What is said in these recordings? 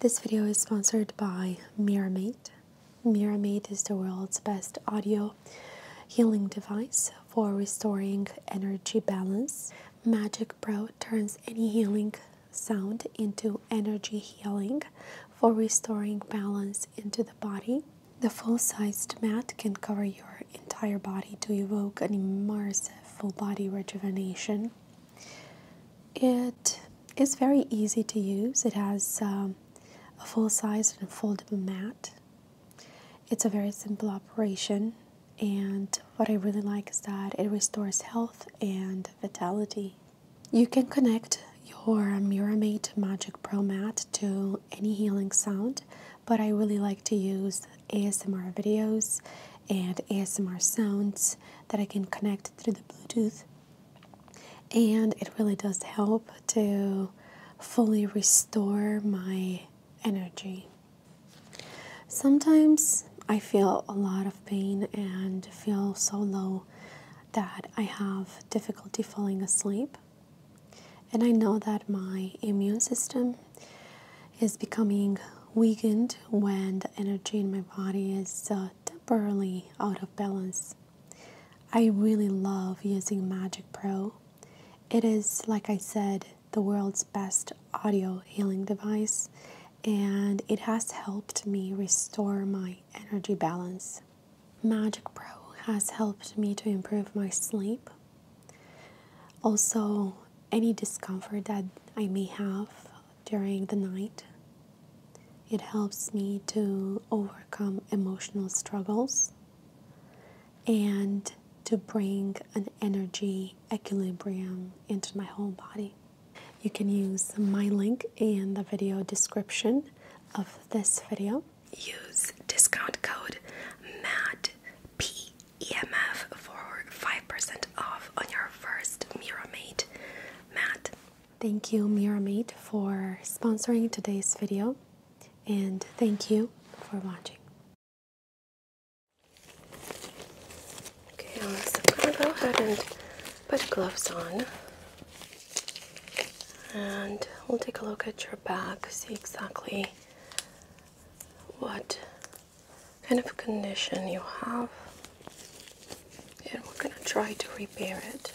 This video is sponsored by Miramate. Miramate is the world's best audio healing device for restoring energy balance. Magic Pro turns any healing sound into energy healing for restoring balance into the body. The full-sized mat can cover your entire body to evoke an immersive full-body rejuvenation. It is very easy to use. It has um, a full size and foldable mat. It's a very simple operation, and what I really like is that it restores health and vitality. You can connect your Miramate Magic Pro Mat to any healing sound, but I really like to use ASMR videos and ASMR sounds that I can connect through the Bluetooth. And it really does help to fully restore my energy. Sometimes I feel a lot of pain and feel so low that I have difficulty falling asleep. And I know that my immune system is becoming weakened when the energy in my body is uh, temporarily out of balance. I really love using Magic Pro. It is, like I said, the world's best audio healing device, and it has helped me restore my energy balance. Magic Pro has helped me to improve my sleep. Also, any discomfort that I may have during the night. It helps me to overcome emotional struggles and to bring an energy equilibrium into my whole body. You can use my link in the video description of this video. Use discount code MATT PEMF for 5% off on your first Miramate Matt. Thank you, Miramate, for sponsoring today's video, and thank you for watching. Okay, I'm gonna go ahead and put gloves on, and we'll take a look at your back, see exactly what kind of condition you have, and we're going to try to repair it.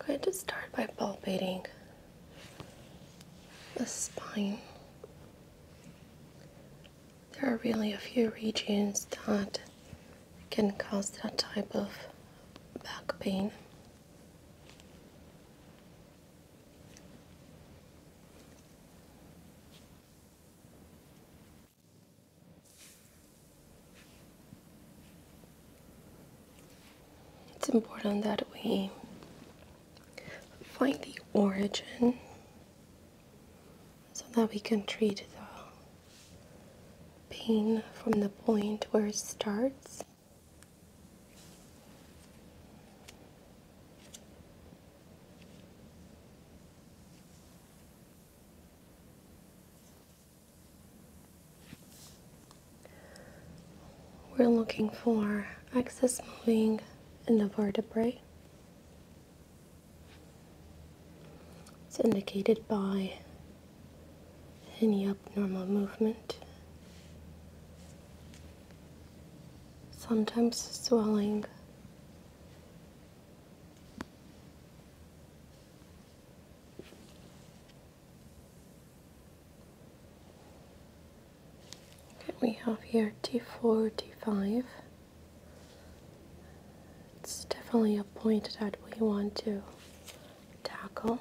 I'm going to start by palpating the spine. There are really a few regions that can cause that type of back pain. It's important that we find the origin so that we can treat the pain from the point where it starts. We're looking for excess moving in the vertebrae. It's indicated by any abnormal movement, sometimes swelling, we have here T4, T5. It's definitely a point that we want to tackle.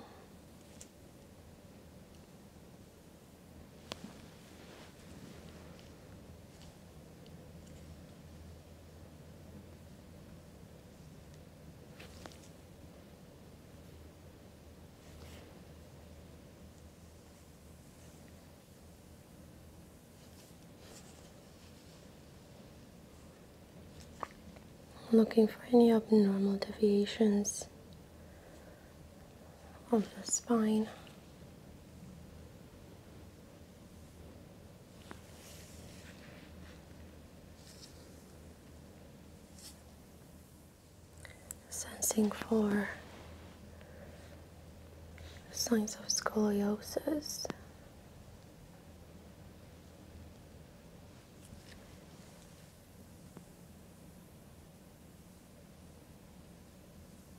I'm looking for any abnormal deviations of the spine. Sensing for signs of scoliosis.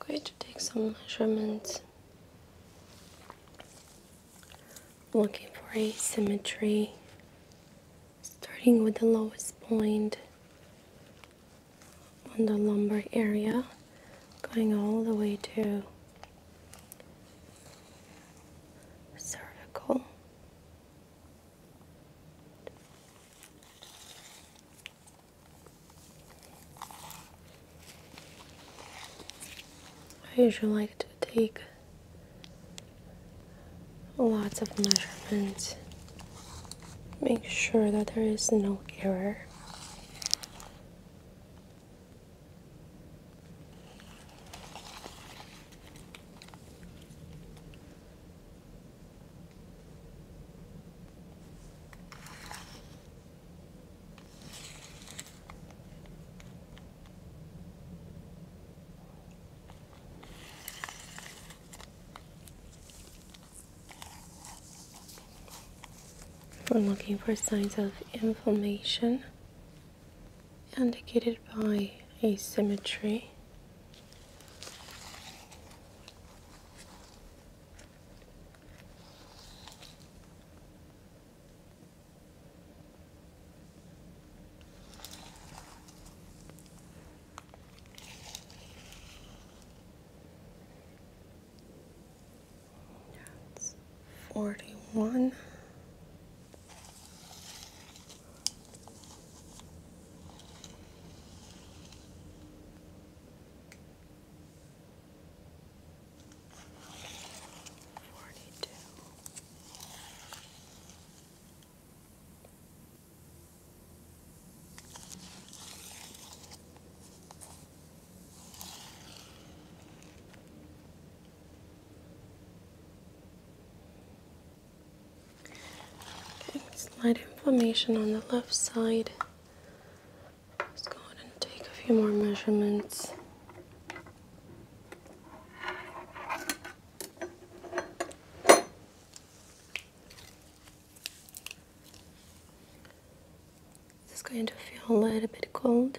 I'm going to take some measurements. looking for asymmetry. starting with the lowest point on the lumbar area, going all the way to cervical. I usually like to take lots of measurements, make sure that there is no error. We're looking for signs of inflammation indicated by asymmetry forty one. Forty-two. Okay, slight inflammation on the left side. Let's go ahead and take a few more measurements. This is going to feel a little bit cold.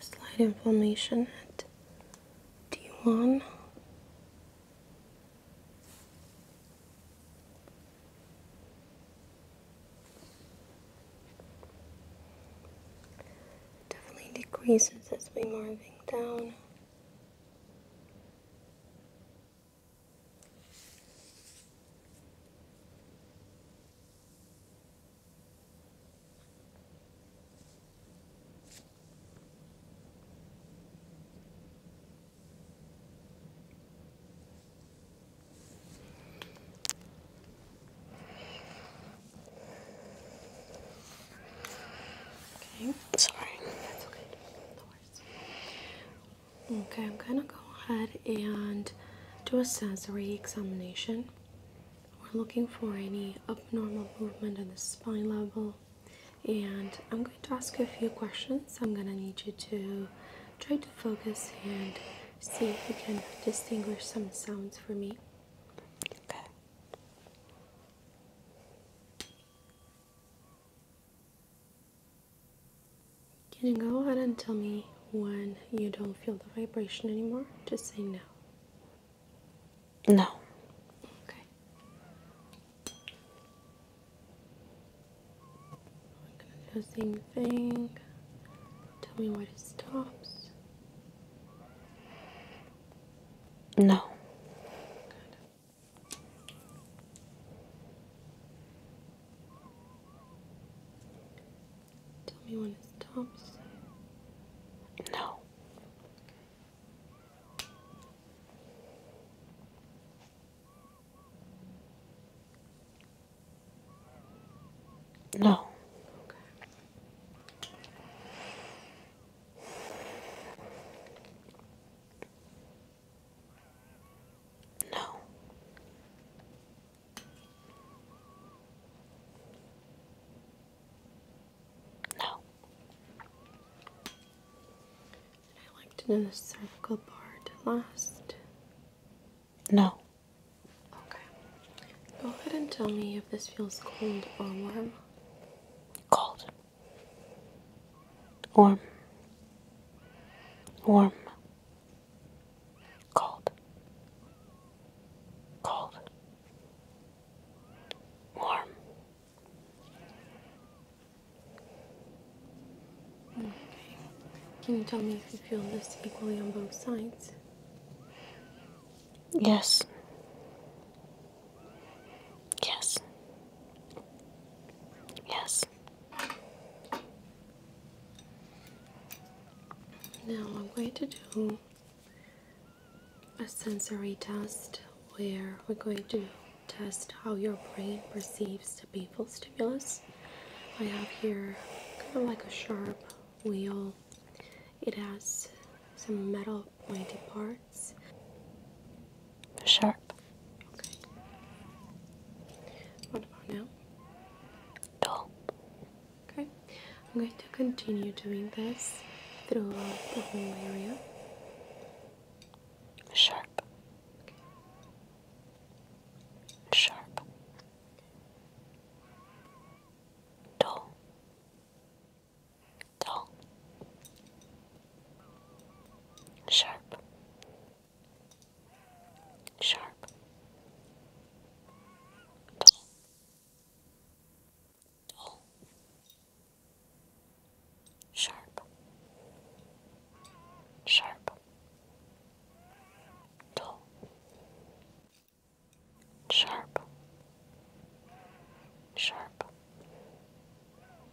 Slight inflammation at D1. Definitely decreases as we moving down. Okay, sorry, that's okay. No worries. Okay, I'm gonna go ahead and do a sensory examination. We're looking for any abnormal movement in the spine level, and I'm going to ask a few questions. I'm gonna need you to try to focus and see if you can distinguish some sounds for me. Okay. Can you go ahead and tell me when you don't feel the vibration anymore? Just say no. No. Okay. i thing. Tell me when it stops. No. Tell me when it stops. No. No. Okay. No. No. And I like to know the circle part last. No. Okay. Go ahead and tell me if this feels cold or warm. Cold. Warm. Warm. Cold. Cold. Warm. Okay. Can you tell me if you feel this equally on both sides? Yes. Yes. Yes. Now I'm going to do a sensory test where we're going to test how your brain perceives the painful stimulus. I have here kind of like a sharp wheel. It has some metal pointy parts. Sharp what about now? Dull. Okay. I'm going to continue doing this throughout the whole area. Sharp. Sharp. Dull. Dull. Sharp. Sharp. Dull. Dull. Sharp. Sharp. Dull. Sharp. Sharp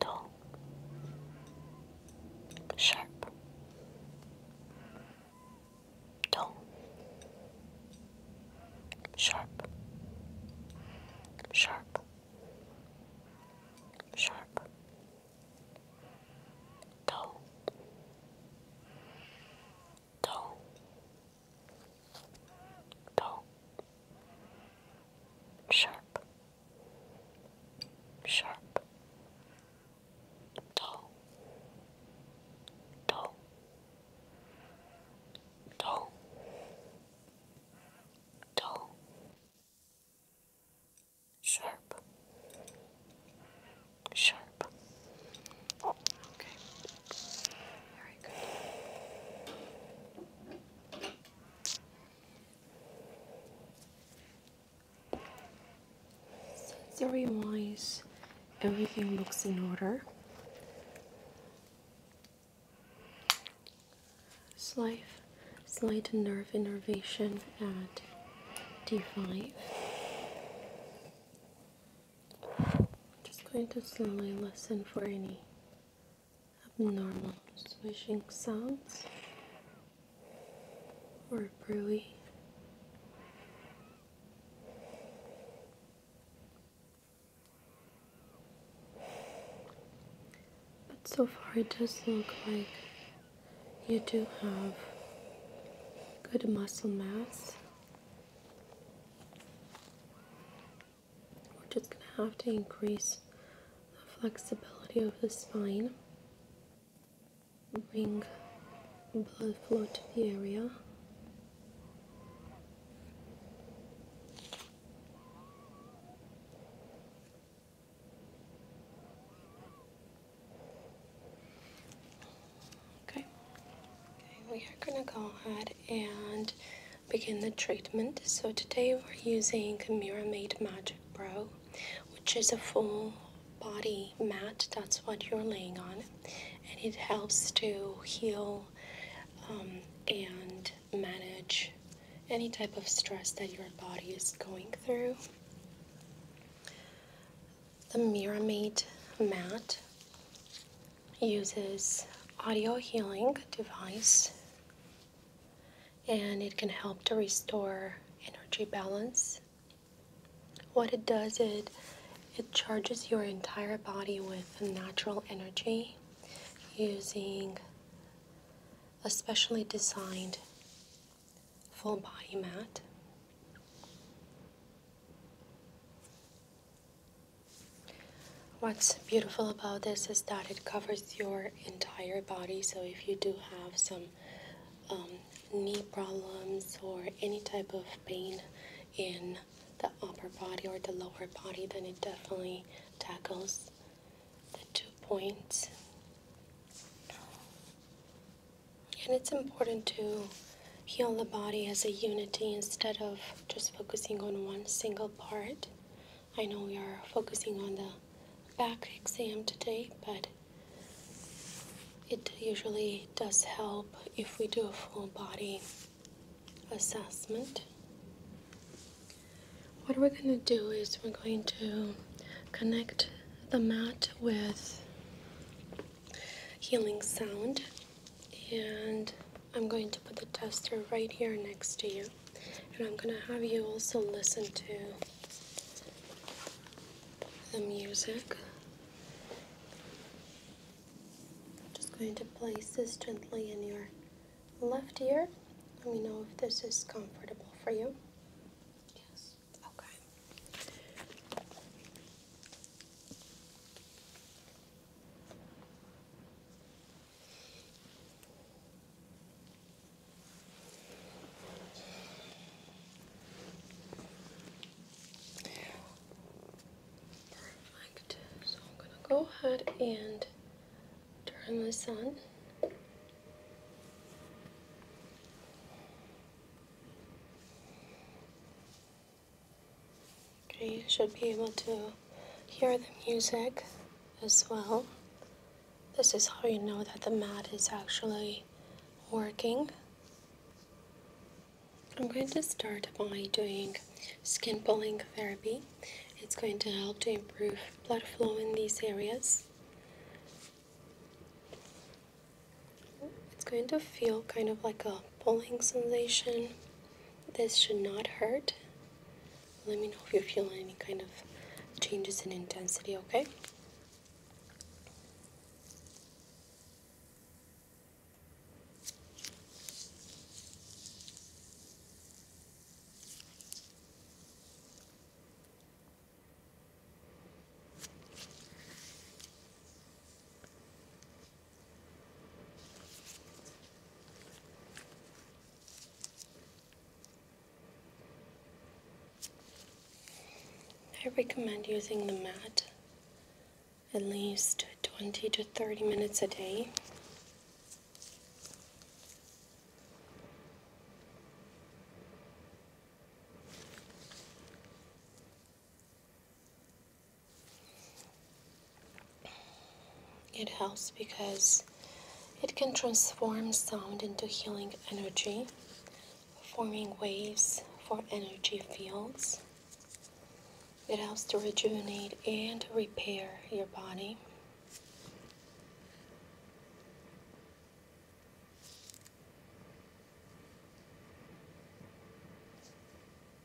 dull, sharp, dull, sharp, sharp, sharp, dull, dull dull, sharp, sharp, dull, dull, dull, dull, sharp, sharp. Okay. All right, good. Sensory wise, everything looks in order. Slight, slight nerve innervation at D5. Just going to slowly listen for any abnormal swishing sounds or brewy. But so far, it does look like you do have good muscle mass. We're just going to have to increase the flexibility of the spine, bring blood flow to the area. Okay, we are going to go ahead and begin the treatment. So today we're using Miramate Magic Pro, which is a full body mat. That's what you're laying on. And it helps to heal um, and manage any type of stress that your body is going through. The Miramate mat uses audio healing device and it can help to restore energy balance. What it does it it charges your entire body with natural energy using a specially designed full body mat. What's beautiful about this is that it covers your entire body. So if you do have some um, knee problems or any type of pain in the upper body or the lower body, then it definitely tackles the two points. And it's important to heal the body as a unity instead of just focusing on one single part. I know we are focusing on the back exam today, but it usually does help if we do a full body assessment. What we're going to do is we're going to connect the mat with healing sound and I'm going to put the tester right here next to you and I'm going to have you also listen to the music. just going to place this gently in your left ear. Let me know if this is comfortable for you. Yes. Okay. Perfect. So I'm going to go ahead and turn this on you should be able to hear the music as well. This is how you know that the mat is actually working. I'm going to start by doing skin pulling therapy. It's going to help to improve blood flow in these areas. It's going to feel kind of like a pulling sensation. This should not hurt. Let me know if you feel any kind of changes in intensity, okay? I recommend using the mat at least 20 to 30 minutes a day. It helps because it can transform sound into healing energy, forming waves for energy fields. It helps to rejuvenate and repair your body.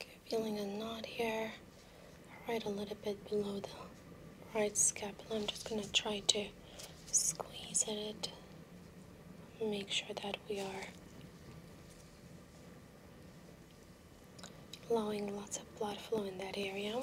Okay, feeling a knot here, right a little bit below the right scapula. I'm just going to try to squeeze it make sure that we are allowing lots of blood flow in that area.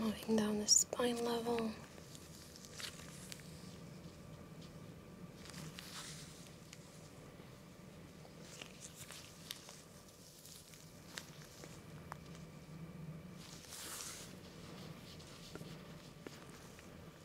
Moving down the spine level.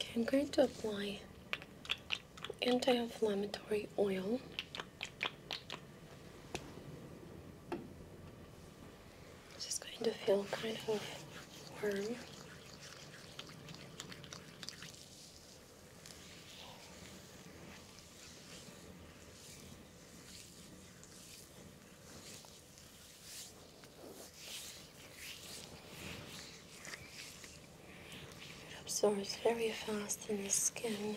Okay, I'm going to apply anti-inflammatory oil it's just going to feel kind of warm. It absorbs very fast in the skin.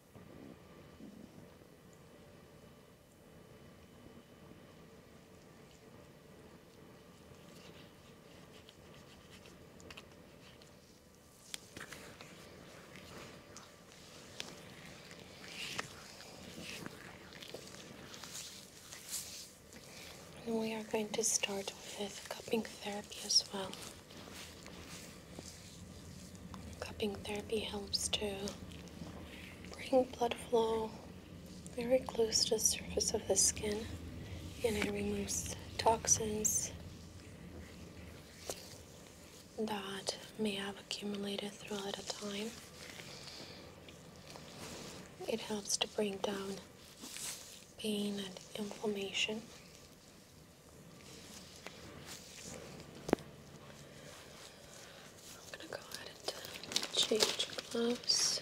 we are going to start with cupping therapy as well. Cupping therapy helps to bring blood flow very close to the surface of the skin and it removes toxins that may have accumulated throughout a time. It helps to bring down pain and inflammation. I'm going to go ahead and change gloves.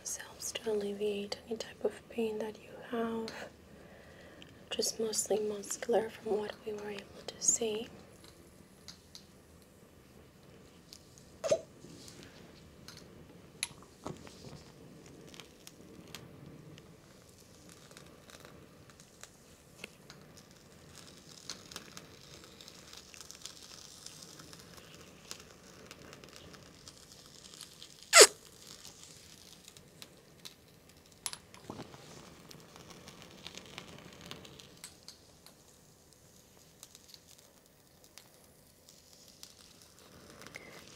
this helps to alleviate any type of pain that you have just mostly muscular from what we were able to see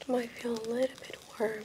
it might feel a little bit warm.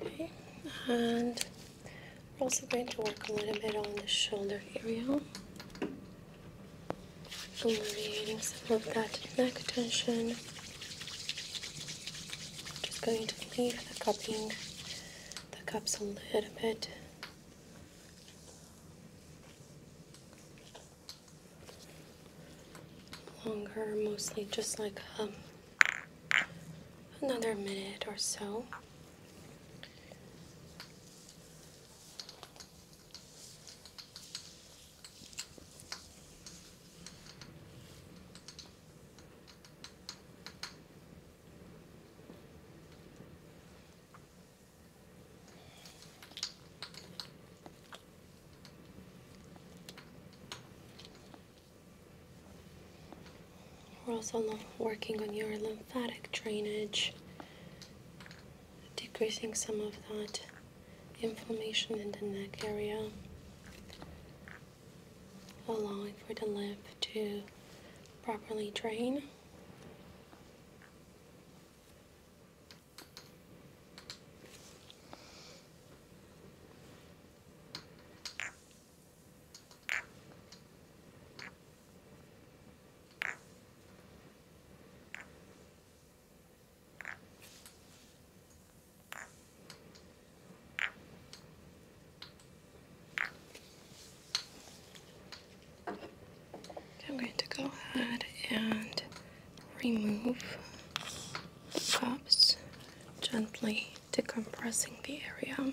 Okay, and we're also going to work a little bit on the shoulder area. Alleviating some of that neck tension. Just going to leave the cupping, the cups a little bit. Longer, mostly just like a um, another minute or so. We're also working on your lymphatic drainage, decreasing some of that inflammation in the neck area, allowing for the lymph to properly drain. I'm going to go ahead and remove gently decompressing the area.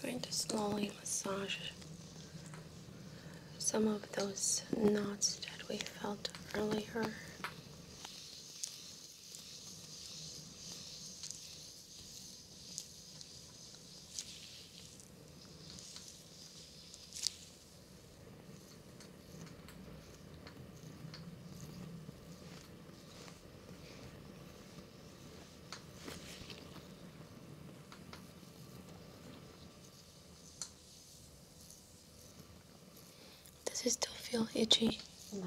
I'm going to slowly massage some of those knots that we felt earlier. Does it still feel itchy? No.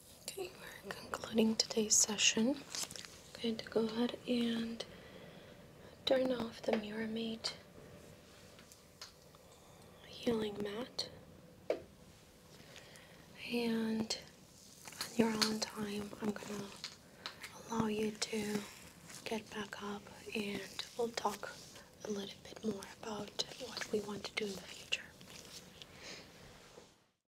Okay, we're concluding today's session. I'm going to go ahead and turn off the Muramate healing mat. And on your own time, I'm going to allow you to get back up and we'll talk a little bit more about what we want to do in the future.